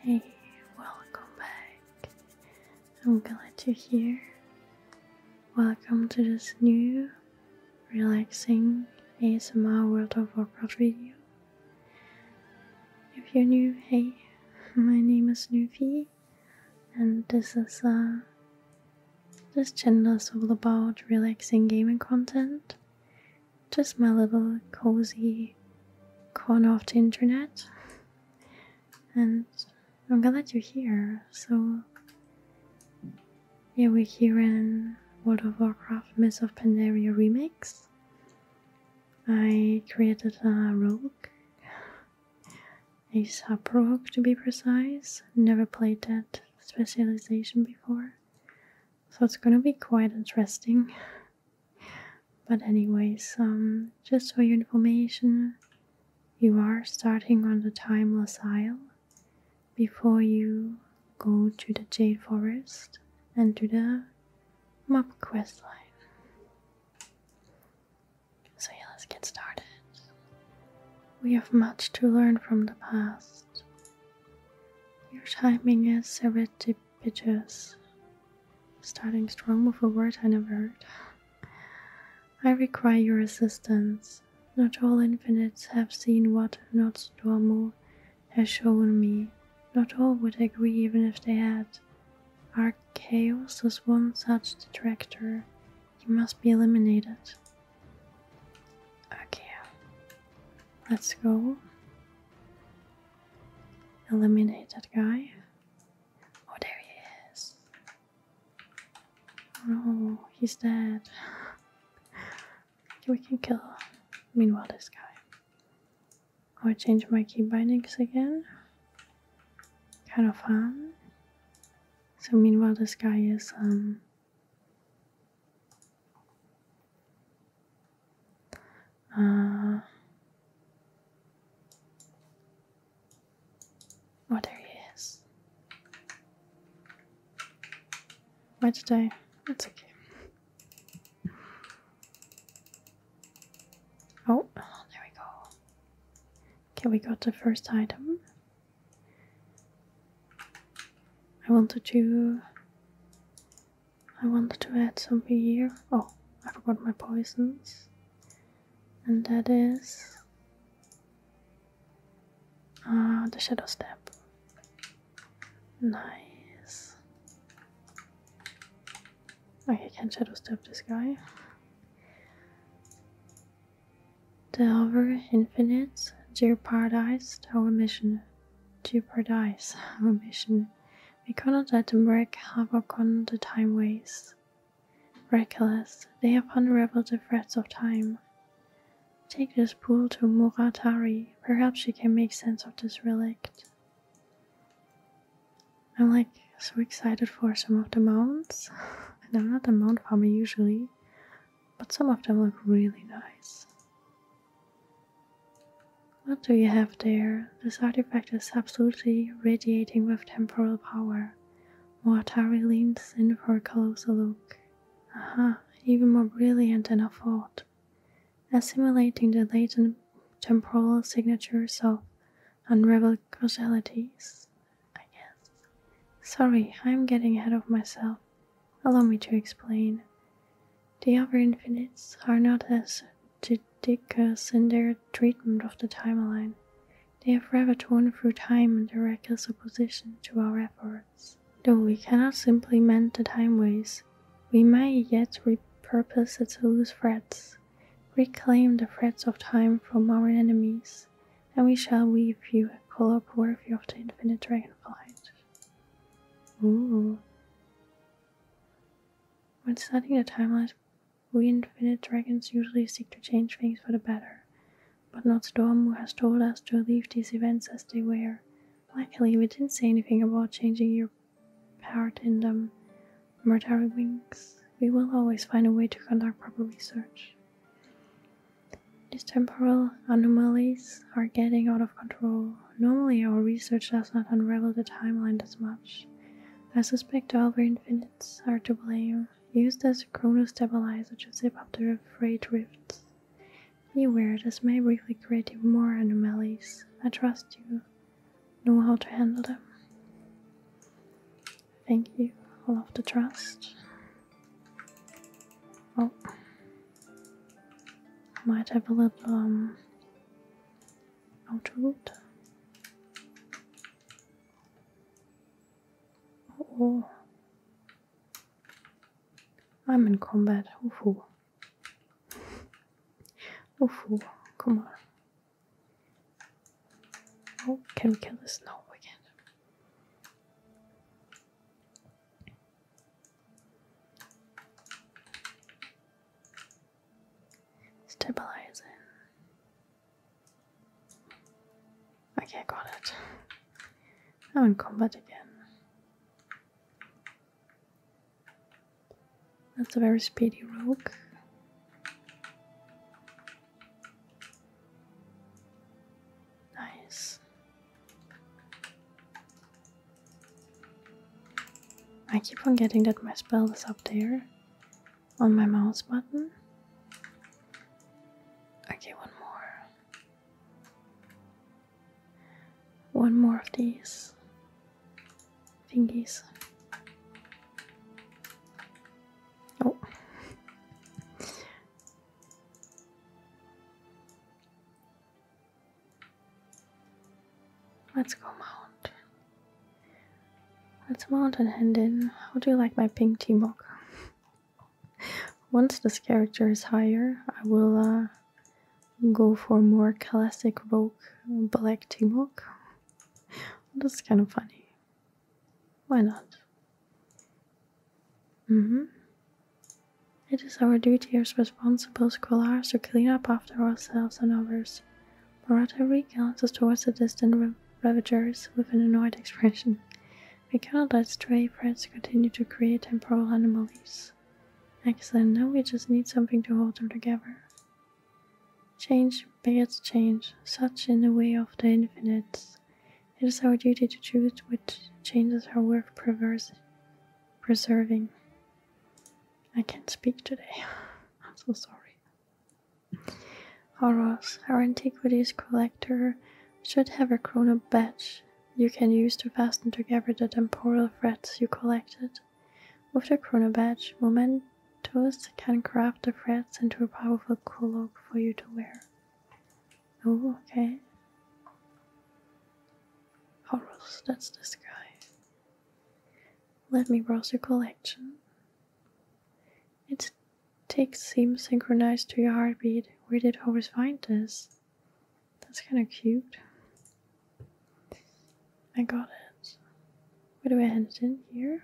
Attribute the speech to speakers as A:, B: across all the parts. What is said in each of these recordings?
A: Hey, welcome back. I'm glad you're here. Welcome to this new, relaxing ASMR World of Warcraft video. If you're new, hey, my name is Nuvi, and this is uh, this channel is all about relaxing gaming content just my little cozy corner of the internet. And I'm glad you're here. So, yeah, we're here in World of Warcraft Myth of Pandaria Remix. I created a rogue, a sub rogue to be precise. Never played that specialization before. So it's gonna be quite interesting. But anyways, um, just for your information, you are starting on the Timeless Isle before you go to the Jade Forest and to the map quest line. So yeah, let's get started. We have much to learn from the past. Your timing is a bit Bitches. Starting strong with a word I never heard. I require your assistance. Not all infinites have seen what not Stormo has shown me. Not all would agree even if they had. Our chaos is one such detractor. He must be eliminated. Okay. Let's go eliminate that guy. Oh, there he is. Oh, he's dead. we can kill, meanwhile, this guy. I'll change my key bindings again. Kind of fun. So meanwhile this guy is um uh, oh, there he Why did I? That's okay. Oh, there we go. Okay, we got the first item. I wanted to I wanted to add some beer. Oh, I forgot my poisons. And that is uh, the Shadow Step. Nice. I can Shadow Step this guy. The other infinite, jeopardized our mission. Jeopardized our mission. We cannot let them break havoc on the time waste. Reckless, they have unraveled the threads of time. Take this pool to Muratari. Perhaps she can make sense of this relic. I'm like so excited for some of the mounds. and I'm not a mound farmer usually, but some of them look really nice. What do you have there? This artifact is absolutely radiating with temporal power. Moatari leans in for a closer look. Aha, even more brilliant than I thought. Assimilating the latent temporal signatures of unraveled causalities, I guess. Sorry, I'm getting ahead of myself. Allow me to explain. The other infinites are not as judicious in their treatment of the timeline. They have rather torn through time in their reckless opposition to our efforts. Though we cannot simply mend the timeways, we may yet repurpose its loose threads, reclaim the threads of time from our enemies, and we shall weave you a collab worthy of the infinite dragonflight. Ooh. When studying the timeline, we infinite dragons usually seek to change things for the better, but not Storm has told us to leave these events as they were. Luckily, we didn't say anything about changing your part in them. Murder wings. We will always find a way to conduct proper research. These temporal anomalies are getting out of control normally our research does not unravel the timeline as much. I suspect all the infinites are to blame, used as a chronostabilizer to zip up the freight rifts. Beware, this may briefly create even more anomalies. I trust you know how to handle them. Thank you, all of the trust. Oh, might have a little um, autoroute. Oh, oh. I'm in combat. Ufu. Ufu, come on. Oh, can we kill this? No, we can't. Stabilize Stabilizing. Okay, got it. I'm in combat again. That's a very speedy rogue. Nice. I keep on getting that my spell is up there on my mouse button. Okay, one more. One more of these thingies. Oh. Let's go mount. Let's mount and hand in. How do you like my pink tea mug? Once this character is higher, I will uh, go for more classic rogue black tea mug. That's kind of funny. Why not? Mm-hmm. It is our duty as responsible scholars to clean up after ourselves and others. Marotta recounts towards the distant ravagers with an annoyed expression. We cannot let stray threats continue to create temporal anomalies. Excellent, now we just need something to hold them together. Change begets change, such in the way of the infinite. It is our duty to choose which changes are worth preserving. I can't speak today. I'm so sorry. Horus, our antiquities collector, should have a chrono badge you can use to fasten together the temporal threads you collected. With the chrono badge, Momentos can craft the threads into a powerful cloak for you to wear. Oh, okay. Horus, that's this guy. Let me browse your collection. Its ticks seems synchronized to your heartbeat. Where did Horace find this? That's kind of cute. I got it. Where do I hand it in? Here?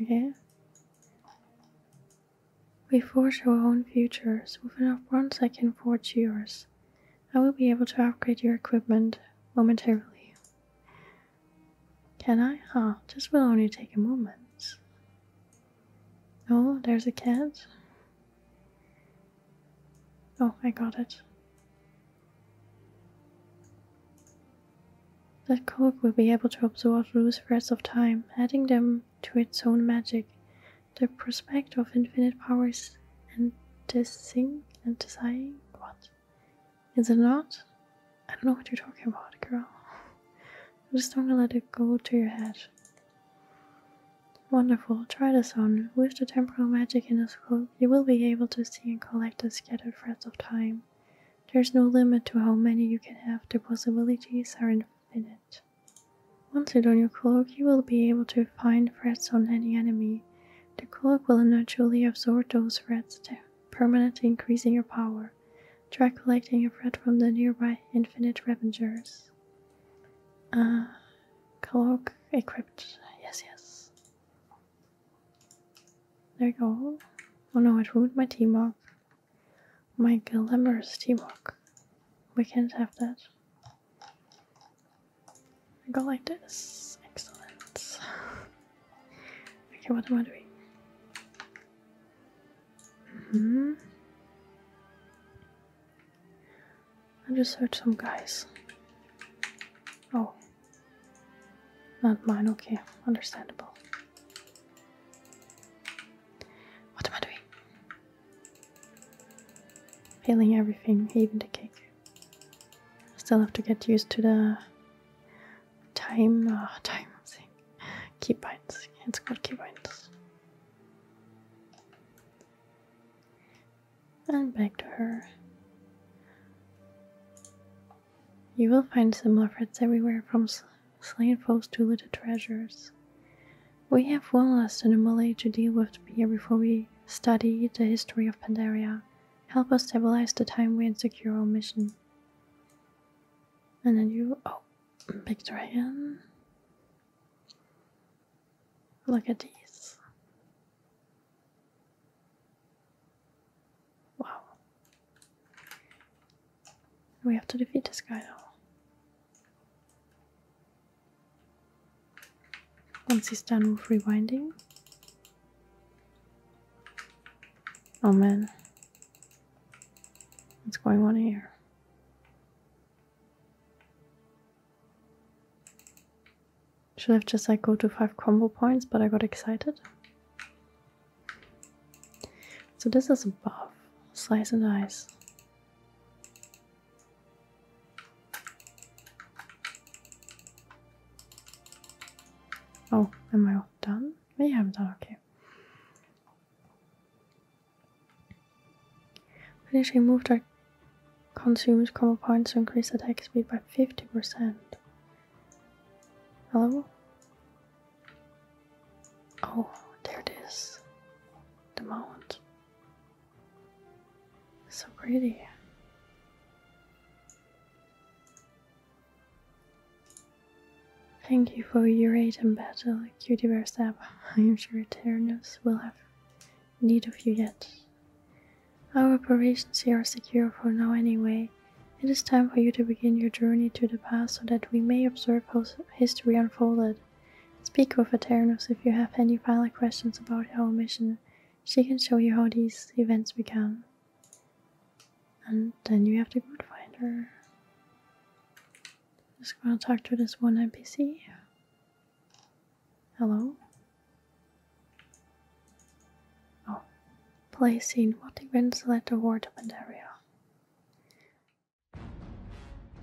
A: Okay. We forge our own futures. With enough bronze, I can forge yours. I will be able to upgrade your equipment momentarily. Can I? Ah, huh, this will only take a moment. Oh, there's a cat. Oh, I got it. That cloak will be able to absorb loose threads of time, adding them to its own magic the prospect of infinite powers and desing and desiring what? Is it not? I don't know what you're talking about, girl. I'm just not gonna let it go to your head. Wonderful, try this on. With the temporal magic in this cloak, you will be able to see and collect the scattered threads of time. There's no limit to how many you can have, the possibilities are infinite. Once you don your cloak, you will be able to find threats on any enemy. The cloak will naturally absorb those threats, permanently increasing your power. Try collecting a threat from the nearby infinite ravengers. Ah, cloak equipped. Yes, yes. There you go. Oh no, it ruined my team up. My glamorous team walk. We can't have that. Go like this. Excellent. okay, what am I doing? Mm-hmm. I just heard some guys. Oh. Not mine, okay. Understandable. What am I doing? Failing everything, even the cake. still have to get used to the time, oh, time thing. Keybinds. It's called keybinds. And back to her. You will find some threads everywhere from slain foes to looted treasures. We have one last anomaly to deal with here before we study the history of Pandaria, help us stabilize the time we secure our mission. And then you, oh, big dragon. Look at these. Wow. We have to defeat this guy now. Once he's done with rewinding. Oh man. What's going on here? Should have just like go to 5 combo points, but I got excited. So this is above buff. Slice and dice. Oh, am I all done? Yeah, I'm done, okay. Finish Finishing move that consumes combo points to increase attack speed by 50%. Hello? Oh, there it is. The mount. So pretty. Thank you for your aid in battle, cutie bear I am sure Eternus will have need of you yet. Our operations here are secure for now anyway. It is time for you to begin your journey to the past so that we may observe how history unfolded. Speak with Eternus if you have any final questions about our mission she can show you how these events become. And then you have to go find her. Just gonna talk to this one NPC. Hello? Oh. Play scene. What events led to war to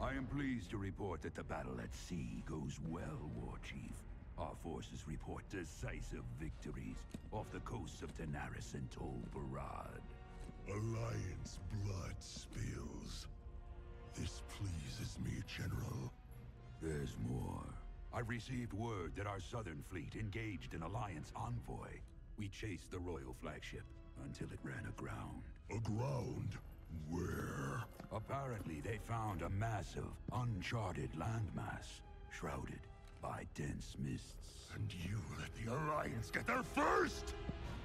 A: I am pleased to report that the battle at sea goes well, War Chief. Our forces report decisive victories off the coasts of Tanaris and Tol Barad. Alliance blood spills. This pleases me, General. There's more. I received word that our southern fleet engaged an Alliance envoy. We chased the Royal flagship until it ran aground. Aground? Where? Apparently, they found a massive, uncharted landmass, shrouded by dense mists. And you let the Alliance get there first!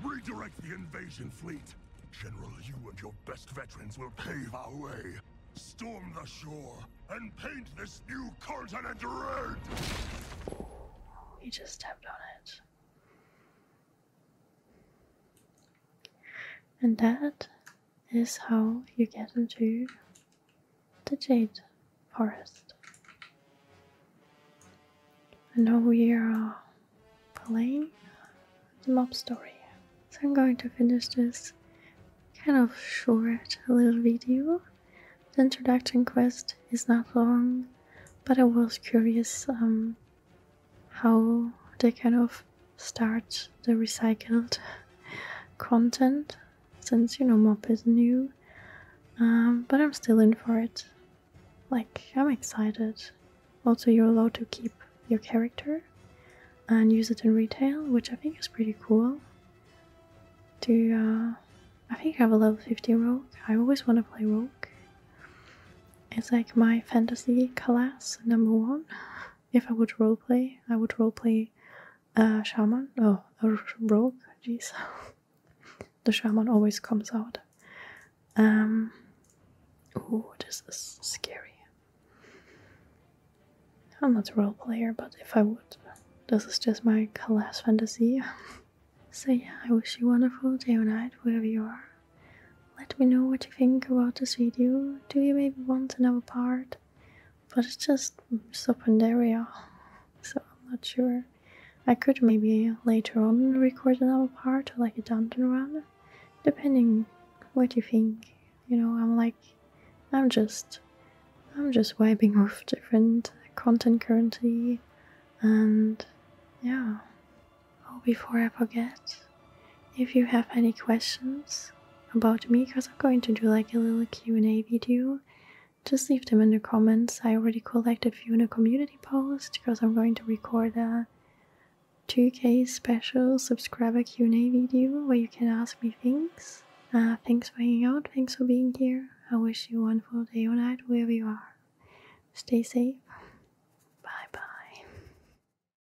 A: Redirect the invasion fleet! General, you and your best veterans will pave our way. Storm the shore and paint this new continent red! You just stepped on it. And that is how you get into the Jade Forest. And now we are playing the mob story. So I'm going to finish this kind of short little video. The introduction quest is not long, but I was curious um, how they kind of start the recycled content since you know mop is new um, but i'm still in for it like i'm excited also you're allowed to keep your character and use it in retail which i think is pretty cool to uh, i think i have a level 50 rogue i always want to play rogue it's like my fantasy class number one if I would roleplay, I would roleplay a uh, shaman. Oh, a rogue. Jeez, the shaman always comes out. Um. Oh, this is scary. I'm not a role player, but if I would, this is just my class fantasy. so yeah, I wish you a wonderful day or night wherever you are. Let me know what you think about this video. Do you maybe want another part? But it's just Sopandaria, uh, so I'm not sure. I could maybe later on record another part, or like a dungeon run, depending what you think. You know, I'm like, I'm just, I'm just vibing off different content currently, and yeah. Oh, before I forget, if you have any questions about me because I'm going to do like a little Q&A video just leave them in the comments. I already collected a few in a community post because I'm going to record a 2k special subscriber Q&A video where you can ask me things. Uh, thanks for hanging out, thanks for being here. I wish you a wonderful day or night wherever you are. Stay safe. Bye bye.